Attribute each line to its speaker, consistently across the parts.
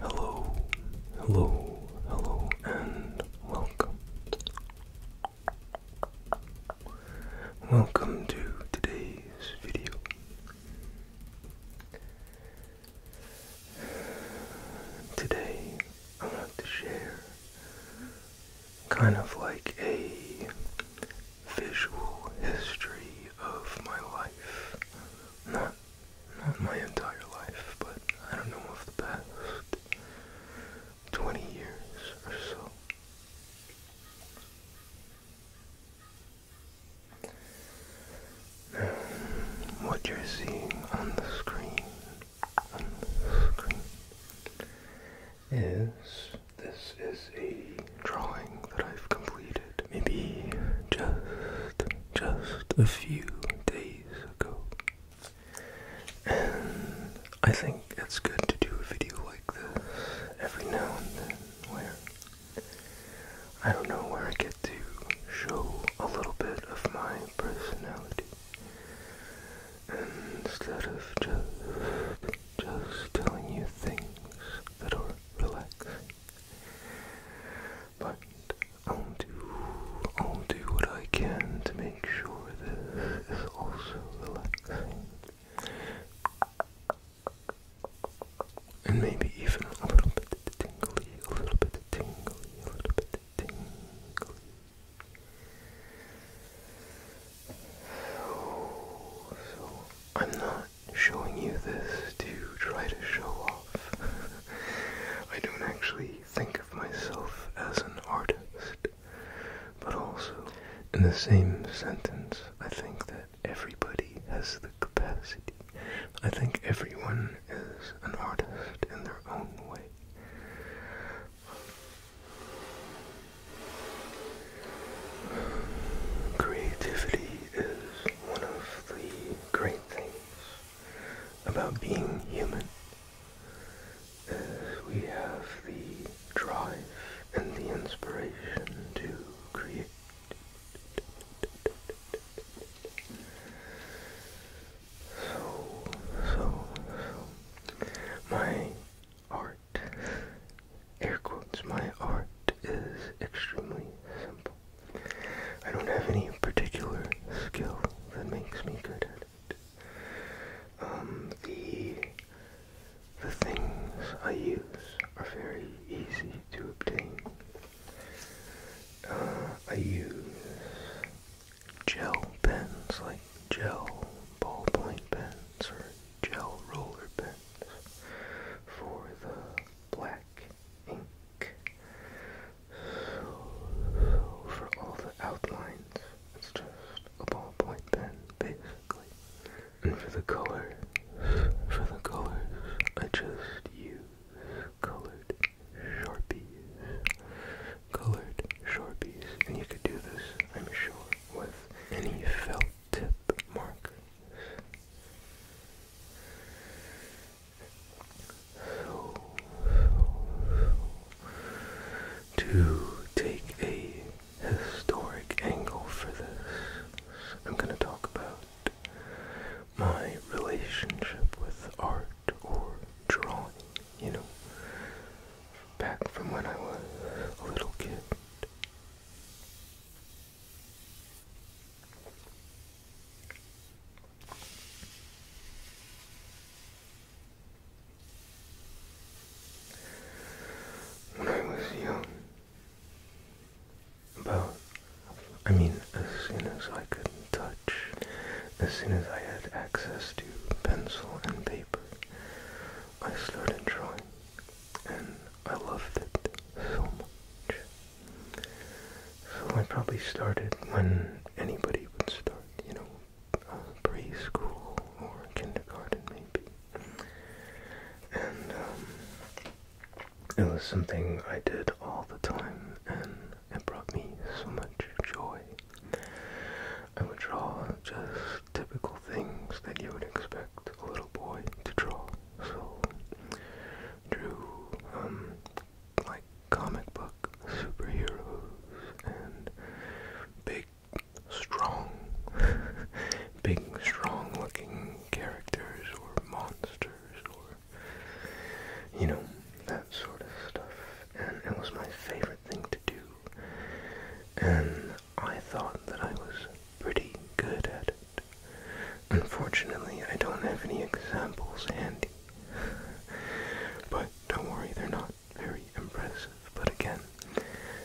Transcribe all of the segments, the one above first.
Speaker 1: Hello, hello, hello, and welcome. Welcome to today's video. Today, I want to share kind of like a visual history of my life. Not not my entire life, but I don't know of the past 20 years or so what you're seeing on the screen, on the screen, is this is a drawing that I've completed maybe just just a few days ago. And I think it's good to do a video like this every now and then where I don't know where I get to show a little bit of my personality. Instead of just just telling you things that are relaxing. But I'll do I'll do what I can to make sure this is also relaxing. And maybe even a little bit tingly, a little bit tingly, a little bit tingly. Oh, so I'm not showing you this to try to show off. I don't actually think of myself as an artist, but also in the same sentence, I think that everybody has the capacity. I think everyone is an artist in their own way. Creativity is one of the great things about being human. Is we have the drive and the inspiration to create. So, so, my art, air quotes, my art is extremely simple. I don't have any particular skill that makes me good at it. Um, the the things I use are very easy to obtain. Uh, I use gel pens, like gel ballpoint pens or gel roller pens for the black ink. for all the outlines, it's just a ballpoint pen, basically. And for the color, for the colors, I just use colored sharpies, colored sharpies, and you could do this, I'm sure, with any felt tip markers. to take a historic angle for this, I'm going to talk about my relationship with art or drawing, you know, back from when I was a little kid. When I was young, well, I mean, as soon as I could touch, as soon as I had access to pencil and paper, I started drawing, and I loved it so much. So I probably started when anybody would start, you know, uh, preschool or kindergarten maybe. And um, it was something I did all the time and it brought me so much joy. I would draw just typical things that you would expect a little boy to draw. So, drew, um, like comic book superheroes and big, strong, big, strong looking characters or monsters or you know, that sort of stuff. And it was my favorite thing to do. And I thought that I was pretty good at it. Unfortunately, I don't have any examples handy. but don't worry, they're not very impressive. But again,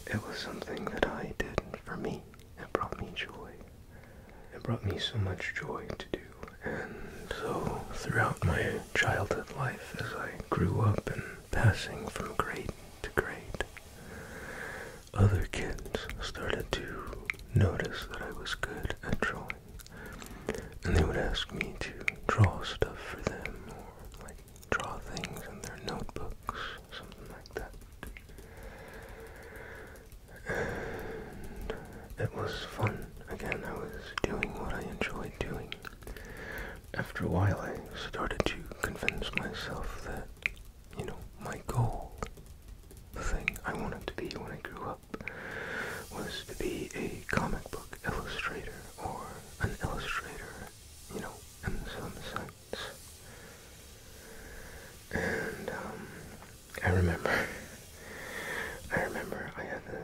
Speaker 1: it was something that I did for me. It brought me joy. It brought me so much joy to do. And so, throughout my childhood life, as I grew up and passing from grade to grade, other kids started to notice that I was good at drawing. And they would ask me to draw stuff for them or like draw things in their notebooks, something like that and it was fun. Again, I was doing what I enjoyed doing. After a while, I started to convince myself that, you know, my goal, the thing I wanted to be when I grew up, was to be a comic book illustrator or an illustrator, you know, in some sense. And, um, I remember. I remember I had this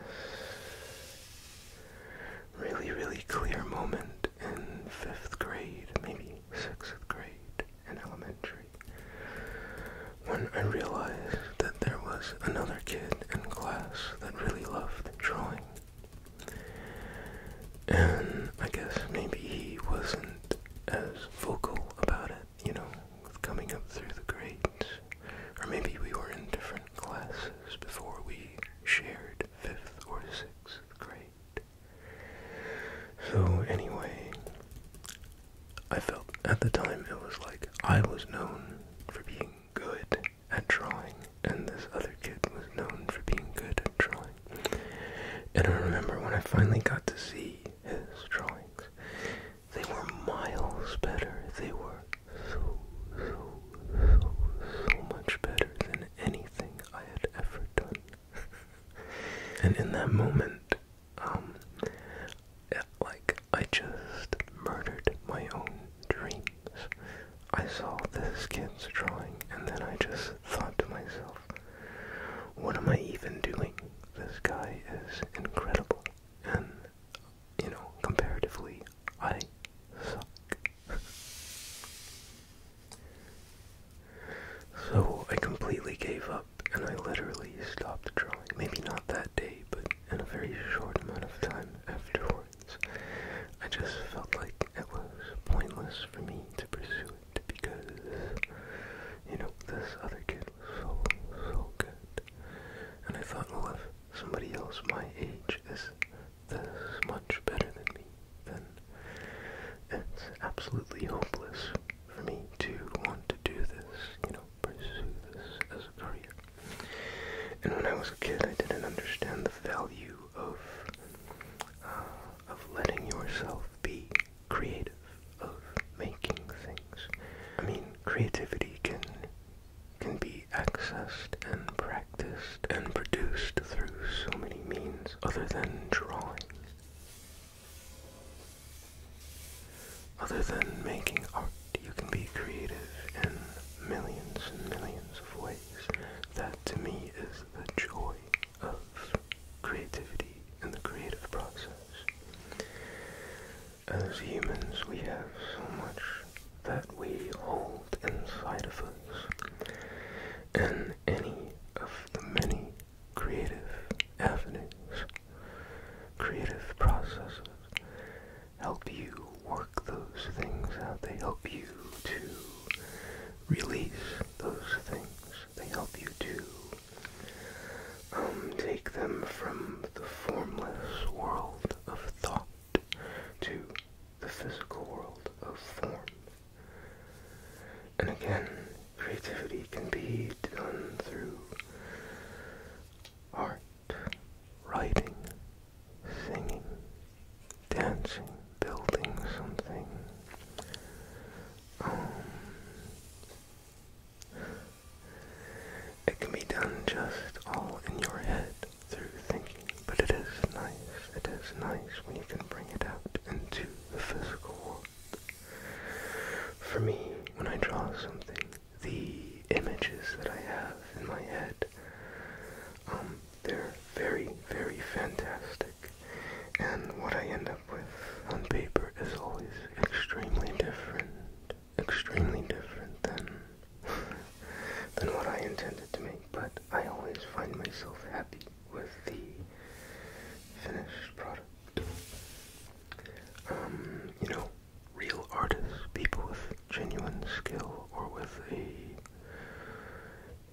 Speaker 1: really, really clear moment in fifth grade, maybe sixth grade in elementary, when I realized that there was another kid in class that really loved drawing. And I guess maybe he wasn't as vocal about it you know, with coming up through the grades. Or maybe we were in different classes before we shared fifth or sixth grade. So, anyway, I felt at the time it was like I was known for being good at drawing, and this other kid was known for being good at drawing. And I remember when I finally got to see his drawings, they were miles better. They were so, so, so, so much better than anything I had ever done. and in that moment, um, like, I just murdered my own dreams. I saw this kid's drawing, and then I just thought to myself, what am I even doing? this guy is incredible. And, you know, comparatively, I suck. so I completely gave up and I literally stopped drawing. Maybe not that day, but in a very short amount of time afterwards. I just felt like it was pointless for me to pursue it because you know, this other kid was so, so good. And I thought, well, if somebody else my age is this much better than me, then it's absolutely hopeless for me to want to do this, you know, pursue this as a career. And when I was a kid, I didn't understand the value of uh, of letting yourself be creative of making things. I mean, creativity can can be accessed and practiced and produced through so many means other than drawing. Other than making art, you can be creative in millions and millions of ways. That to me is the joy of creativity and the creative process. As humans, we have so much that we hold inside of us, and any of the many creative avenues, creative processes, help you work those things out. They help you to release those things. They help you to um, take them from the formless world of thought to the physical world of form. And again, creativity can be done through art, writing, singing, dancing, building something. Um, it can be done just all in your head through thinking, but it is nice. It is nice when you can bring it out into the physical world. For me, when I draw something, the images that I have in my head, um, they're very, very fantastic. And what I end up with on paper is always extremely different, extremely different than than what I intended to make, but I always find myself happy with the finished product. Um, you know, real artists, people with genuine skill or with a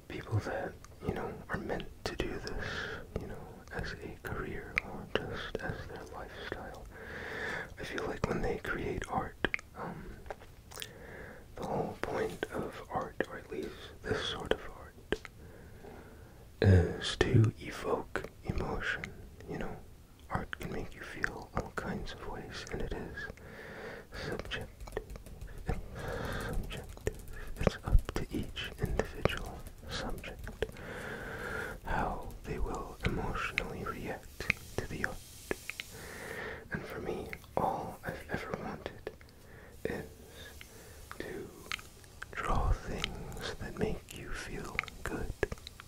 Speaker 1: people that, you know, are meant to do this, you know, as a career or just as their lifestyle. I feel like when they create art, um, the whole point of art, or at least this sort of art, is to evoke emotion, you know? Art can make you feel all kinds of ways, and it is subjective. subjective. It's up to each individual subject, how they will emotionally react to the art. And for me, all I've ever wanted is to draw things that make you feel good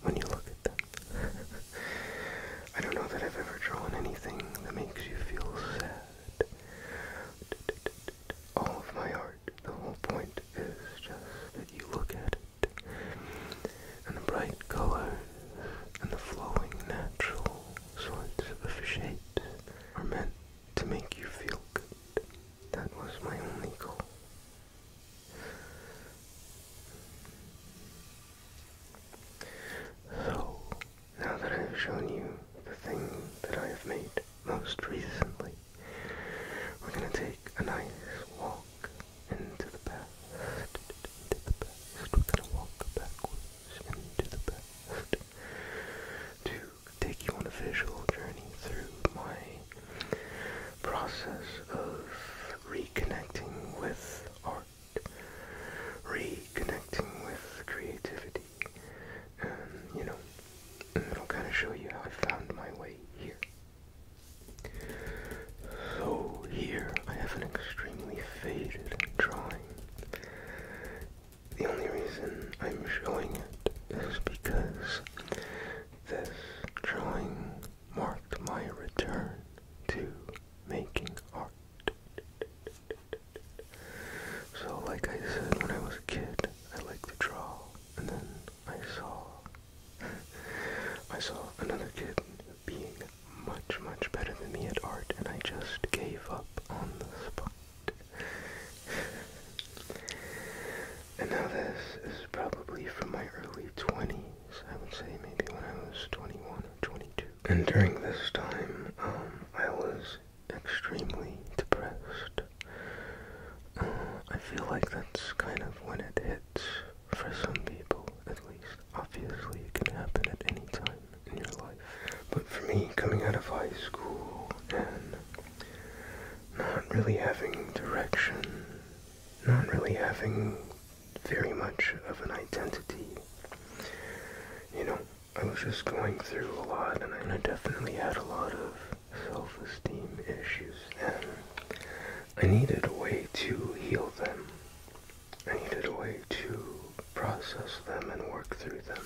Speaker 1: when you look at them. I don't know that I've ever drawn anything that makes you feel sad. All of my art, the whole point is just that you look at it and the bright colors and the flowing natural sorts of shapes are meant to make you feel good. That was my only goal. So, now that I've shown you the thing that I have made most recently, we're gonna take a nice walk into the past, into the past. We're gonna walk backwards into the past to take you on a visual journey through my process of reconnecting with art, reconnecting with creativity, and um, you know, it'll kind of show you how I found my way here. So here I have an extremely faded drawing. The only reason I'm showing it is because this drawing marked my return to making art. So, like I said, when I was a kid, I liked to draw, and then I saw I saw another kid being much, much better than me at art, and I just gave up on the spot. and now this is probably from my early 20s, I would say maybe when I was 21 or 22. And during this time, um, I was extremely depressed. Uh, I feel like that's kind of when it hits, for some people at least. Obviously, it can happen at any time in your life. But for me, coming out of high school and not really having direction, not really having very much of an identity, you know, I was just going through a lot and I definitely had a lot of self-esteem issues and I needed a way to heal them. I needed a way to process them and work through them.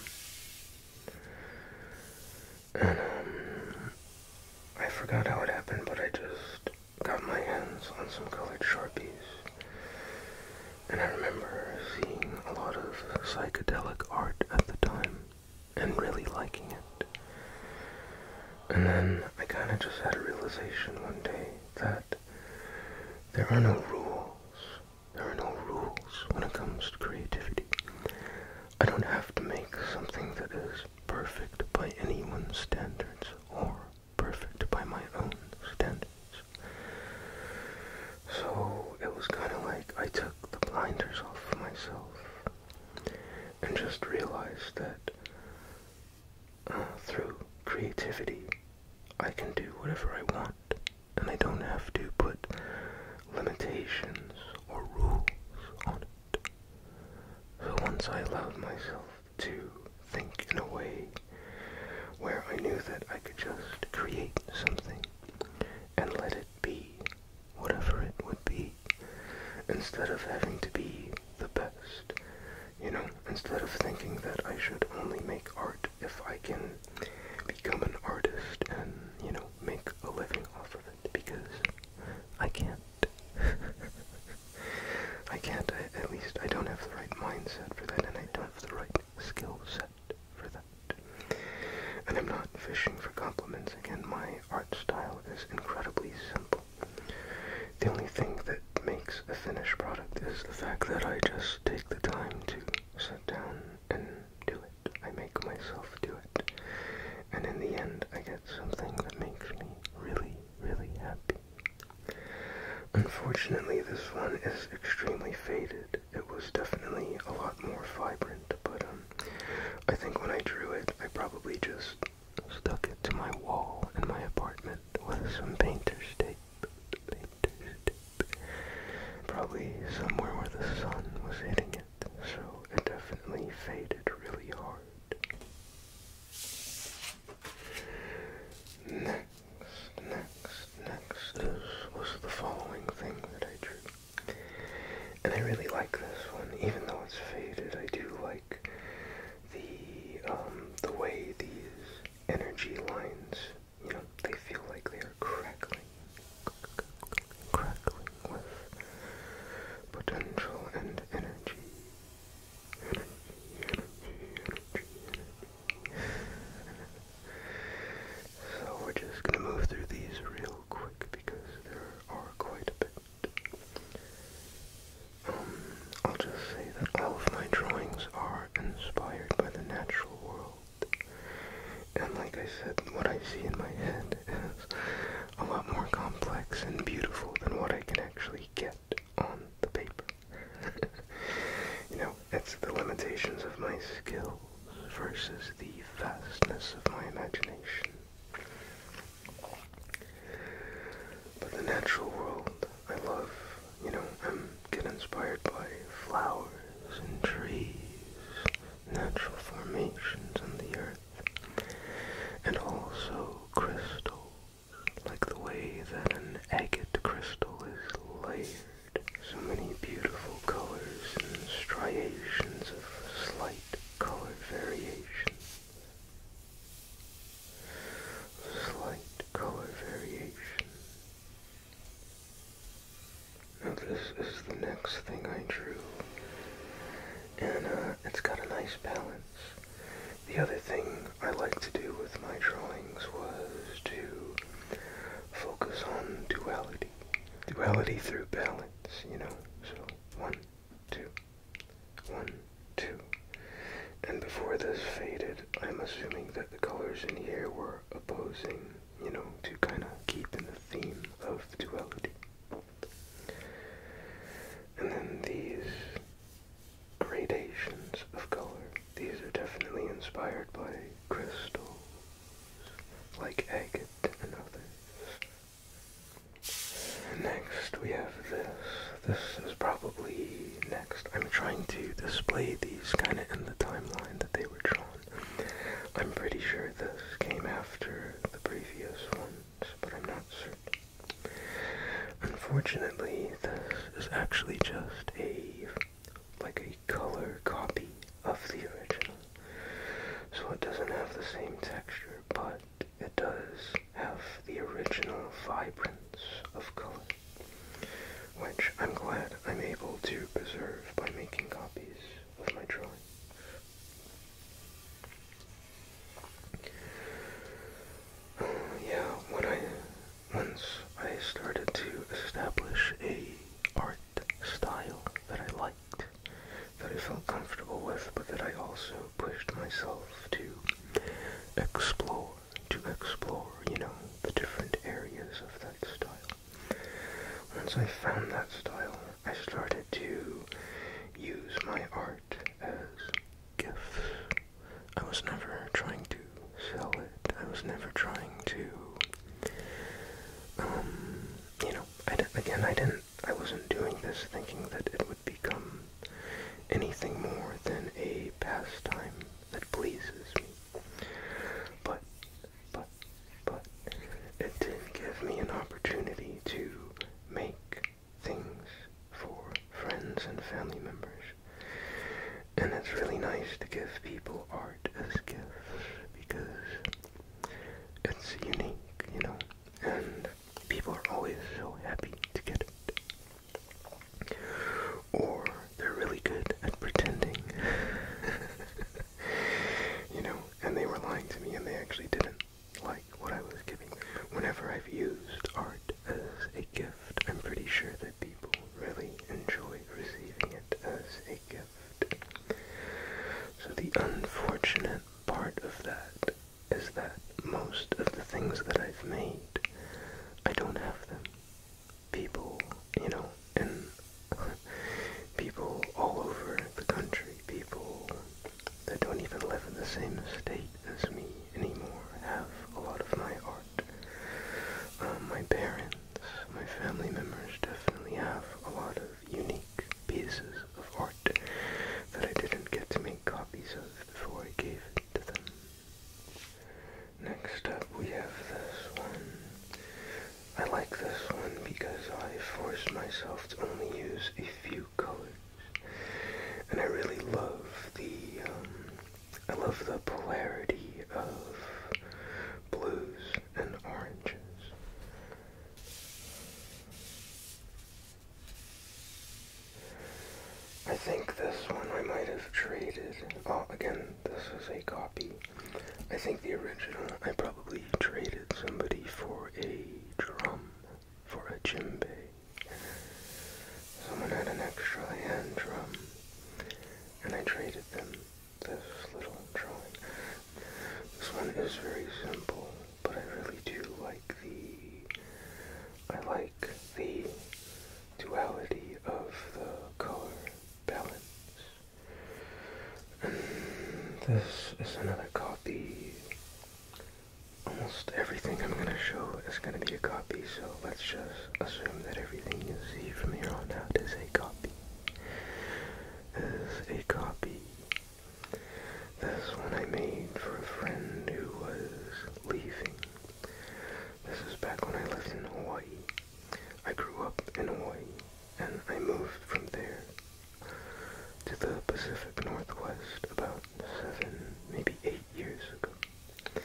Speaker 1: And um, I forgot how it happened, but I just got my hands on some colored Sharpies. And I remember seeing a lot of psychedelic art at the time and really liking it. And then I kind of just had a realization one day that there are no rules. There are no rules when it comes to creativity. I don't have to make something that is perfect by anyone's standards or perfect by my own standards. So it was kind of like I took the blinders off of myself and just realize that uh, through creativity I can do whatever I want and I don't have to put limitations or rules on it. So once I allowed myself to think in a way where I knew that I could just create something and let it be whatever it would be, instead of having to be the best. You know, instead of thinking that I should only make art if I can become an artist and, you know, make a living off of it, because I can't. I can't, at least I don't have the right mindset for that, and I don't have the right skill set for that. And I'm not fishing for compliments, once again, my art style is incredibly simple. The only thing that makes a finished product is the fact that I just take the time to sit down and do it. I make myself do it. And in the end, I get something that makes me really, really happy. Unfortunately, this one is extremely faded. It was definitely a lot more vibrant, but um, I think when I drew it, I probably just stuck it to my wall in my apartment with some painter's tape. Probably somewhere where the sun was hitting it, so it definitely faded really hard. Next, next, next. This was the following thing that I drew and I really like this one, even though it's faded. I do like the um, the way these energy lines, you know, they feel like they are crackling, crackling with potential and energy. Energy, energy, energy, energy. so we're just gonna move through these real quick because there are quite a bit. I'll just say that all of my drawings are inspired by the natural world. And like I said, what I see in my head is a lot more complex and beautiful than what I can actually get on the paper. you know, it's the limitations of my skills versus the vastness of my imagination. But the natural world, I love, you know, I am get inspired by flowers and trees, natural formations on the earth, and also crystals, like the way that an agate crystal is layered. So many beautiful colors and striations of slight color variation slight color variation. Now this is the next thing I drew. And uh, it's got a nice balance. The other thing I like to do with my drawings was to focus on duality. Duality through balance, you know? So, one, two, one, two. And before this faded, I'm assuming that the colors in here were opposing, you know, to kind of keep in the theme of duality. And then these gradations of color, these are definitely inspired by crystals like agate and others. Next we have this. This is probably next. I'm trying to display these kind of in the timeline that they were drawn. I'm pretty sure this came after the previous ones, but I'm not certain. Unfortunately, this is actually just a like a color copy of the original. So it doesn't have the same texture, but it does have the original vibrance of color, which I'm glad I'm able to preserve by making copies of my drawing. yeah, when I once I started to establish a art style that I like that I felt comfortable with, but that I also pushed myself to explore, to explore, you know, the different areas of that style. Once I found that style, I started to use my art as gifts. I was never trying to sell it. I was never trying to, um, you know, I again, I didn't I wasn't doing this thinking that it would become anything more than a pastime that pleases me. But, but, but, it did give me an opportunity to make things for friends and family members. And it's really nice to give people art as gifts because it's unique, you know, and people are always so happy to get it. Or they're really good at pretending. you know, and they were lying to me and they actually didn't like what I was giving Whenever I've used art as a gift, I'm pretty sure that people really enjoy receiving it as a gift. So the unfortunate part of that is that most of the things that I've made, I don't have them. People, you know, and people all over the country, people that don't even live in the same state as me anymore, have a lot of my art. Um, my parents, my family members definitely have a lot of unique pieces of that I didn't get to make copies of before I gave it to them. Next up, we have this one. I like this one because I forced myself to only use a few colors. And I really love the, um, I love the polarity of blues and oranges. I think this one I might have traded. Oh, again, this is a copy. I think the original I probably traded somebody for a drum, for a djembe. Someone had an extra hand drum, and I traded them this little drum. This one is very simple but I really do like the, I like the duality of the color balance. this is another copy. Almost everything I'm going to show is going to be a copy, so let's just assume that everything you see from here on out is a copy. Is a copy. This one I made for a friend who was leaving. This is back when I lived in Hawaii. I grew up in Hawaii, and I moved from there to the Pacific Northwest about seven, maybe eight years ago.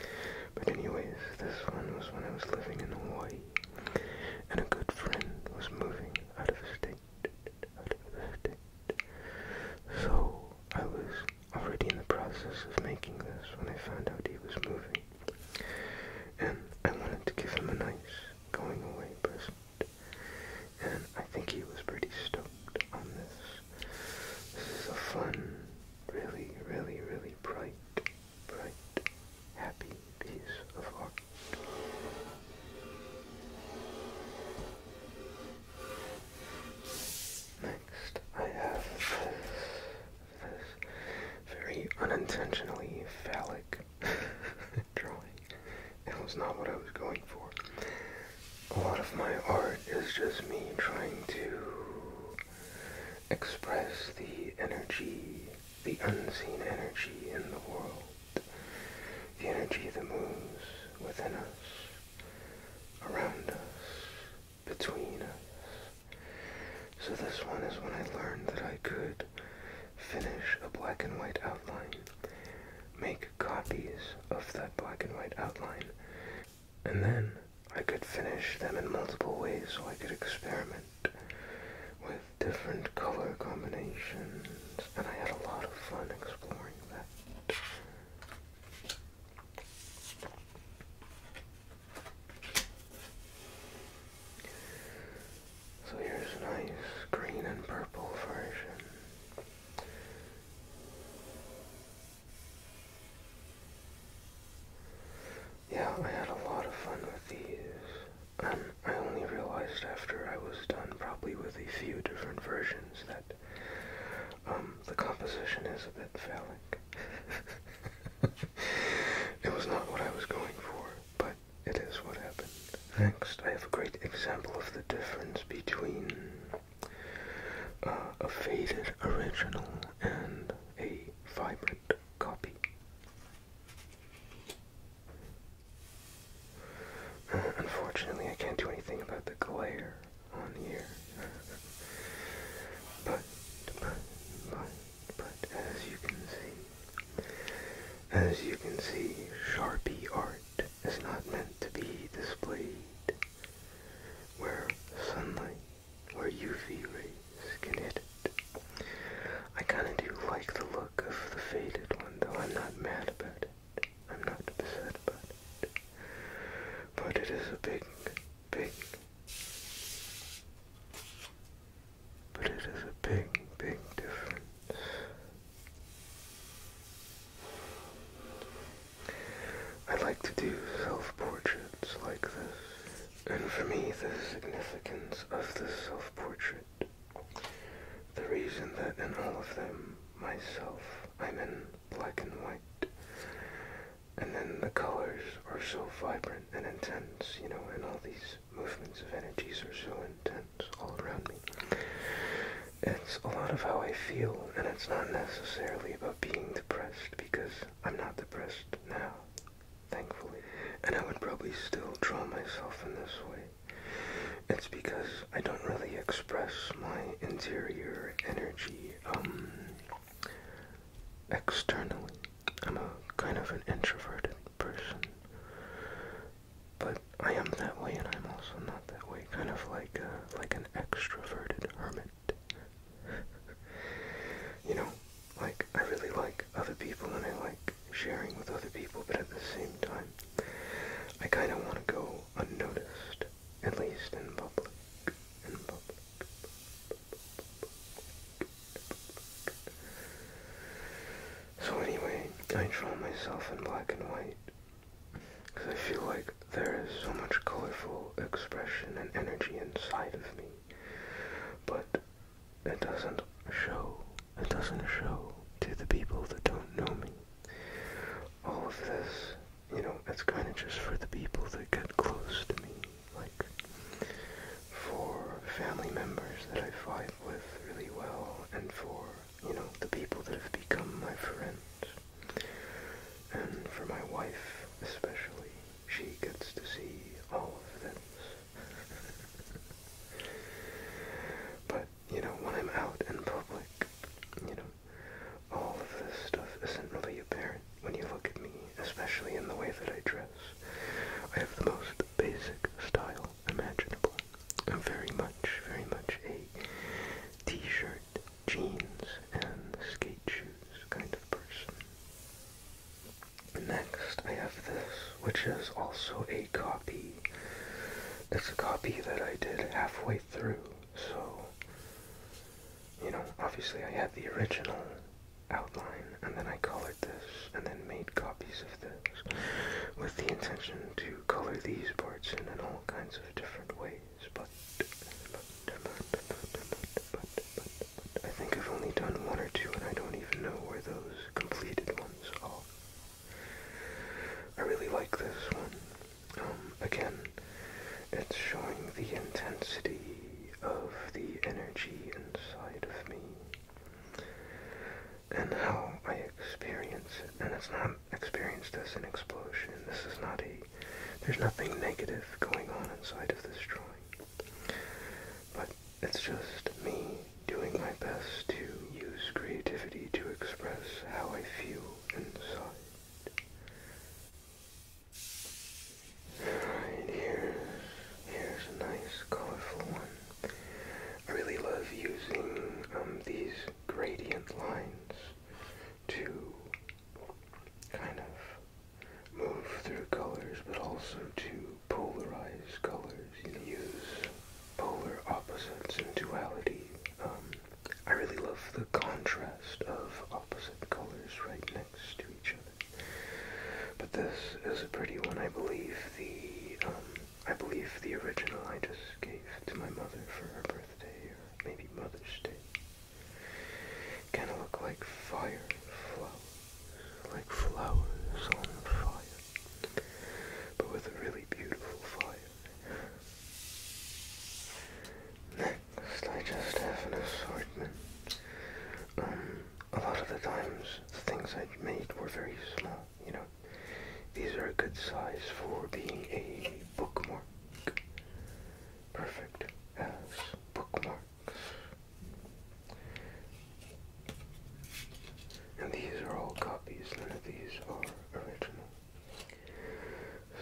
Speaker 1: But anyways, this one was when I was living in Hawaii, and a good friend was moving out of state. So, I was already in the process of making this when I found out he was moving. And I wanted to give him a nice going away present. And I think he was pretty stoked on this. This is a fun, really, really, really bright, bright, happy piece of art. Next, I have this, very unintentionally phallic drawing. That was not what I was going for. A lot of my art is just me trying to express the energy, the unseen energy in the world the energy that moves within us, around us, between us. So this one is when I learned that I could finish a black and white outline, make copies of that black and white outline, and then I could finish them in multiple ways so I could experiment with different color combinations, and I had a lot of fun exploring that. So here's a nice green and purple version. Yeah, I had a lot of fun with these, and I only realized after I was done, probably with a few different versions, that um, the composition is a bit phallic. it was not what I was going for, but it is what happened. Next, I have a great example of the difference between uh, a faded original and a vibrant copy unfortunately, I can't do anything about the glare on here. but, but, but, but, as you can see, as you can see, Sharpie art is not meant to be displayed where sunlight, or UV rays can hit it. I kinda do like the look of the faded one, though I'm not mad about it. I'm not upset about it. But it is a big, big. But it is a big, big difference. I like to do self-portraits like this, and for me the significance of the self-portrait the reason that in all of them, myself, I'm in black and white. And then the colors are so vibrant and intense, you know, and all these movements of energies are so intense all around me. It's a lot of how I feel, and it's not necessarily about being depressed because I'm not depressed now, thankfully. And I would probably still draw myself in this way it's because I don't really express my interior energy um, externally. I'm a kind of an introverted person. But I am that way, and I'm also not that way. Kind of like like an extroverted hermit. you know, like I really like other people, and I like sharing with other people. But at the same time, I kind of want to go unnoticed, at least In public. So anyway, I draw myself in black and white because I feel like there is so much colorful expression and energy inside of me, but it doesn't show. It doesn't show to the people that don't know me all of this, you know, it's kind of just for the people that get close to me, like for family members that I fight with really well, and for, you know, the people that have become my friends, and for my wife especially. She gets to see all of this. but, you know, when I'm out in public, you know, all of this stuff isn't really apparent when you look at me, especially in the way that I dress. I have the most basic style imaginable. I'm very much, very much a t-shirt, jeans, and skate shoes kind of person. Next, I have this, which is also a copy. It's a copy that I did halfway through so, you know, obviously I had the original outline and then I colored this and then made copies of this with the intention to color these parts in in all kinds of different ways, but but I think I've only done one or two and I don't even know where those completed ones are. I really like this one. Um, again, it's showing the intensity of the energy inside of me and how I experience it. And it's not experienced as an explosion. This is not a. There's nothing negative going on inside of this drawing. But it's just me doing my best to use creativity to express how I feel inside. Alright, here's a nice colorful one. I really love using um, these gradient lines to kind of move through colors, but also to polarize colors. You use polar opposites and duality um, I really love the contrast of opposite colors right next to each other. But this is a pretty one. I believe the um, I believe the original I just gave to my mother for her birthday or maybe Mother's Day. Kind of look like fire flowers, like flowers on fire, but with a really beautiful fire. Next, I just have an assortment. Um, a lot of the times, the things I made were very small, you know. These are a good size for being a bookmark. Perfect as bookmarks. And these are all copies, none of these are original.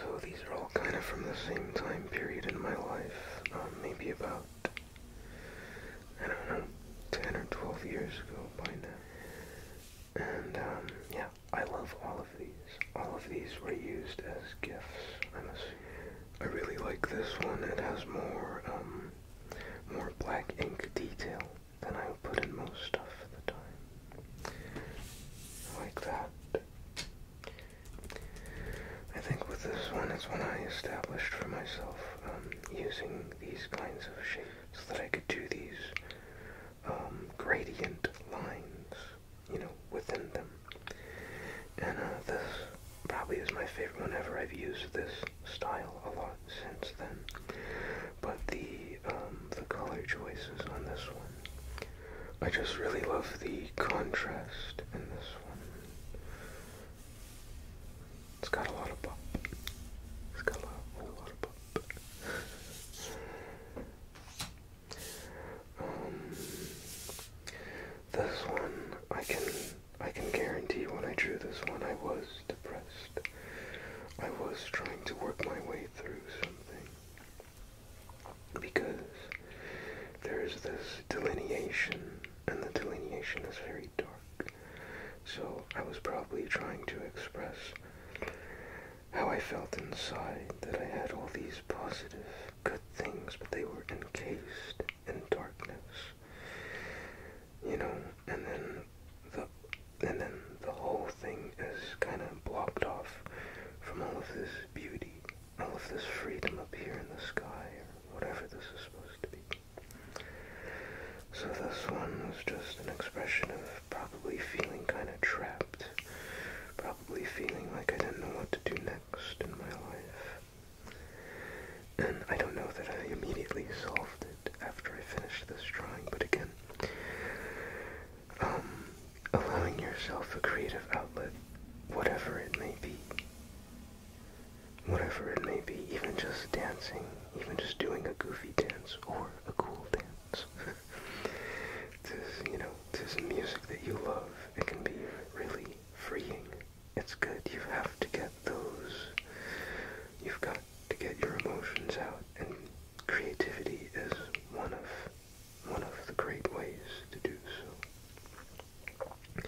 Speaker 1: So these are all kind of from the same time period in my life, um, maybe about, I don't know, 10 or 12 years ago by now. And um, yeah, I love all of these. All of these were used as gifts, I'm I really like this one. It has more, um, more black ink detail than I will put in most stuff at the time like that. I think with this one is when I established for myself um, using these kinds of shapes so that I could do these um, gradient lines, you know, within them. And uh, this probably is my favorite whenever I've used this style a lot since then but the um, the color choices on this one, I just really love the contrast in this one. It's got a lot of pop. It's got a lot, of pop. Um, this one, I can I can guarantee when I drew this one, I was depressed. I was trying to work my way through something because there is this delineation, and the delineation is very dark. So I was probably trying to express how I felt inside that I had all these positive, good things, but they were encased in darkness. You know, and then the and then the whole thing is kind of blocked off from all of this beauty, all of this freedom up here in the sky, or whatever this is supposed to be. So this one was just an expression of probably feeling kind of trapped, probably feeling like I didn't know what to do next in my life. And I don't know that I immediately solved it after I finished this drawing, but again, um, allowing yourself a creative outlet, whatever it may be. Whatever it may be, even just dancing, even just doing a goofy dance or a cool dance. this, you know, this music that you love, it can be really freeing. It's good. You have to get those. You've got to get your emotions out, and creativity is one of one of the great ways to do so.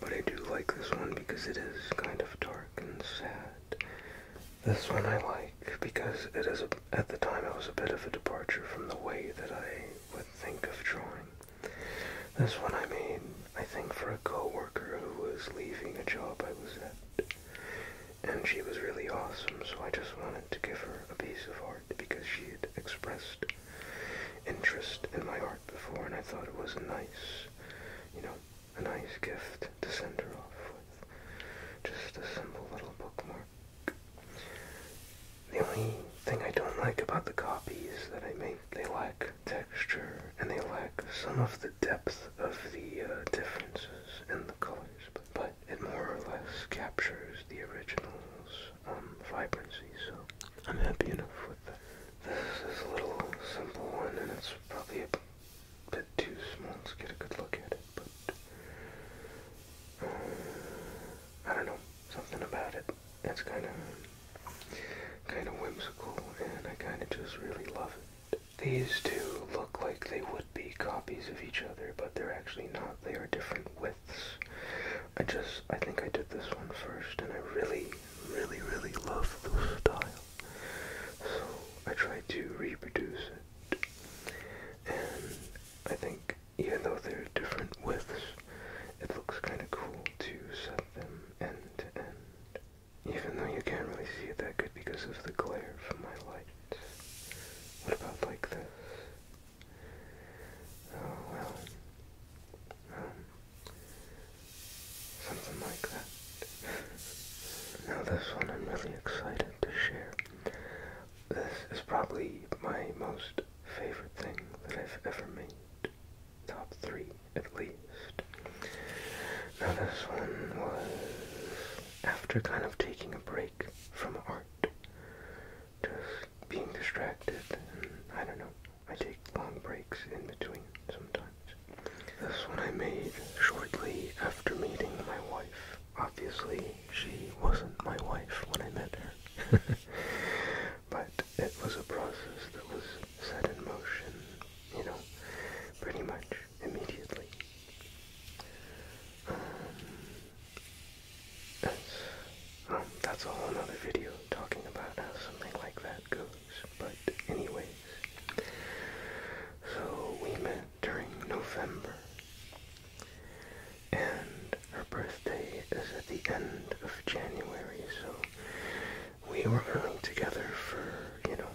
Speaker 1: But I do like this one because it is kind of dark and sad. This one I like because it is, at the time, it was a bit of a departure from the way that I would think of drawing. This one I made, I think, for a coworker who was leaving a job I was at and she was really awesome, so I just wanted to give her a piece of art because she had expressed interest in my art before, and I thought it was a nice, you know, a nice gift to send her off with. Just a simple little bookmark. The only thing I don't like about the copies that I make, they lack texture and they lack some of the depth of the uh, differences in the colors. but it more or less captures the original's um, vibrancy, so I'm happy enough with that. This is a little simple one, and it's probably a bit too small to get a good look at it, but uh, I don't know, something about it. It's kind of kind of whimsical, and I kind of just really love it. These two look like they would be copies of each other, but they're actually not. They are different widths. I just, I think I did this one first, and I really, really, really love the style. So I tried to reproduce it. And I think even though they're different widths, it looks kind of cool to set them end to end. Even though you can't really see it that good because of the glare from my light. What about like this? Oh well. Um, something like that. now this one I'm really excited to share. This is probably my most favorite thing that I've ever made. Top three, at least. Now this one was after kind of taking a break from art. Just being distracted, I don't know. I take long breaks in between sometimes. This one I made shortly after meeting my wife. Obviously, she wasn't my wife when I met her. but it was a process that was set in motion, you know, pretty much immediately. Um, um, that's a whole nother video talking about how something like that goes. But anyways, so we met during November, and her birthday is at the end of January, so we were only together for, you know,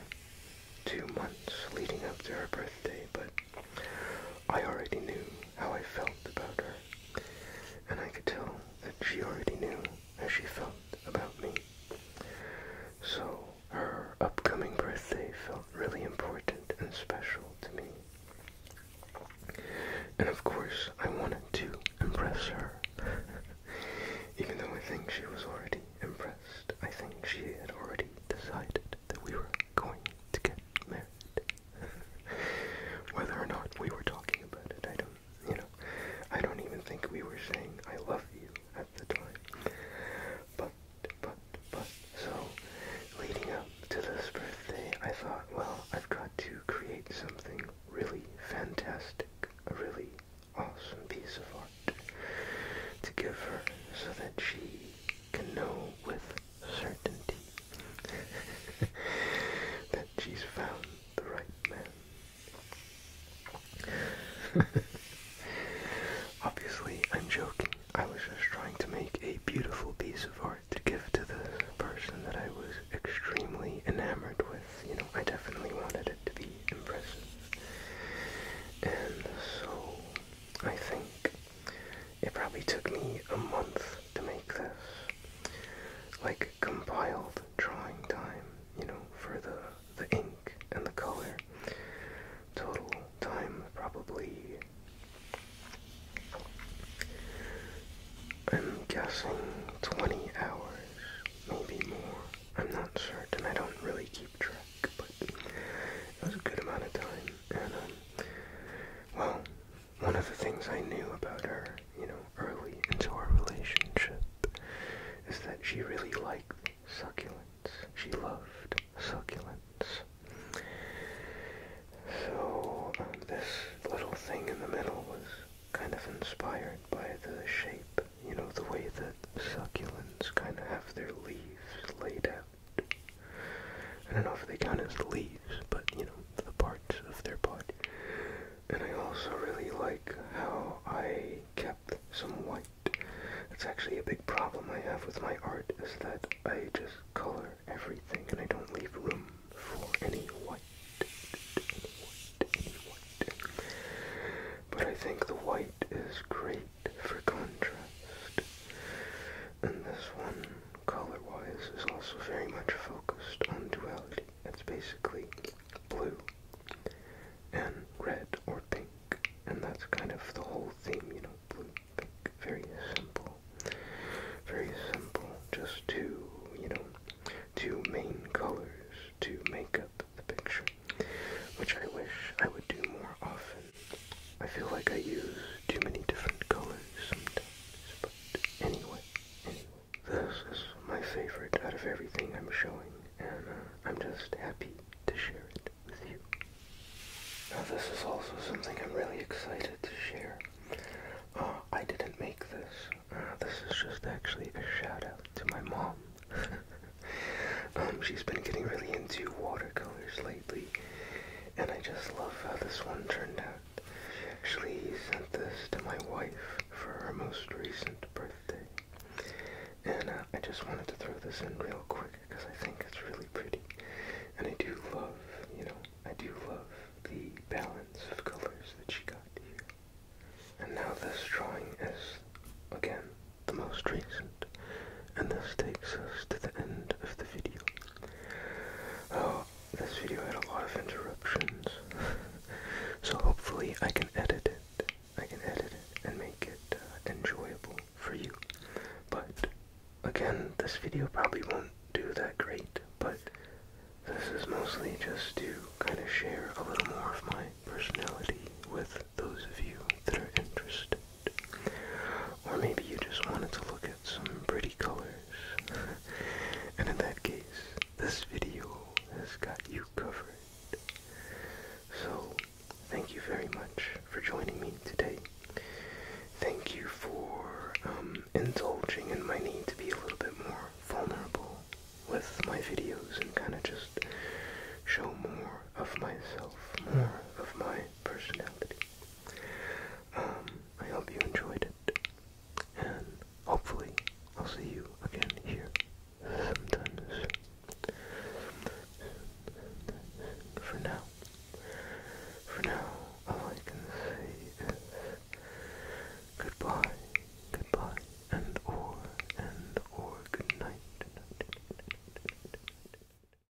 Speaker 1: two months leading up to her birthday, but I already knew how I felt about her, and I could tell that she already knew how she felt about me. So her upcoming birthday felt really important and special to me. And of course, I wanted to impress her. Even though I think she was already impressed, I think she had already decided that we were going to get married. Whether or not we were talking about it, I don't, you know, I don't even think we were saying I love you at the time. But, but, but, so leading up to this birthday, I thought, well, I've got to create something really fantastic, a really awesome piece of art to give her so that she can know with certainty that she's found the right man. Obviously, I'm joking. I was just trying to make a beautiful piece of art to give to the person that I was extremely enamored with. You know, I definitely wanted it to be impressive. And so, I think it probably took me a month to make this. Like compiled drawing time, you know, for the the ink and the color. Total time probably I'm guessing 20 hours, maybe more. I'm not certain. I don't really keep track, but it was a good amount of time, um, well, one of the things I knew about her, you know, early into our relationship is that she really liked succulents. She loved succulents. So, um, this little thing in the middle was kind of inspired by the shape, you know, the way that succulents kind of have their leaves laid out. I don't know if they count as leaves, but you know, the parts of their body. And I also really like how I kept some white. That's actually a big problem I have with my art is that I just color everything and I don't leave room for any white. white, any white. But I think the white is great for contrast. And this one, color-wise, is also very much focused on duality. It's basically blue and red or pink. And that's kind of the whole theme, you know, blue, pink. Very simple. Very simple. Just two, you know, two main colors to make up the picture. Which I wish I would do more often. I feel like I use too many different colors sometimes, but anyway, this is my favorite out of everything I'm showing, and uh, I'm just happy to share it with you. Now this is also something I'm really excited to share. Uh, I didn't make this. Uh, this is just actually a shout out to my mom. Um, she's been getting really into watercolors lately, and I just love how this one turned out. Actually, he sent this to my wife for her most recent birthday. And uh, I just wanted to throw this in real quick because I think it's really pretty. And I do love, you know, I do love the balance of colors that she got here. And now this drawing is, again, the most recent. And this takes us to the end of the video. Oh, this video had a lot of interruptions. so hopefully I can edit it. I can edit it and make it uh, enjoyable for you. But again, this video probably won't do that great, but this is mostly just to kind of share a little more of my personality with those of you that are interested. Or maybe you just wanted to look at some pretty colors. and in that case, this video has got you covered. So, thank you very much for joining me today. Thank you for um, indulging in my need to be a little bit more vulnerable with my videos and kind of just show more of myself, more of my personality. Um, I hope you enjoyed it, and hopefully I'll see you again here sometimes. For now, for now, all I can say is goodbye, goodbye, and or, and or, good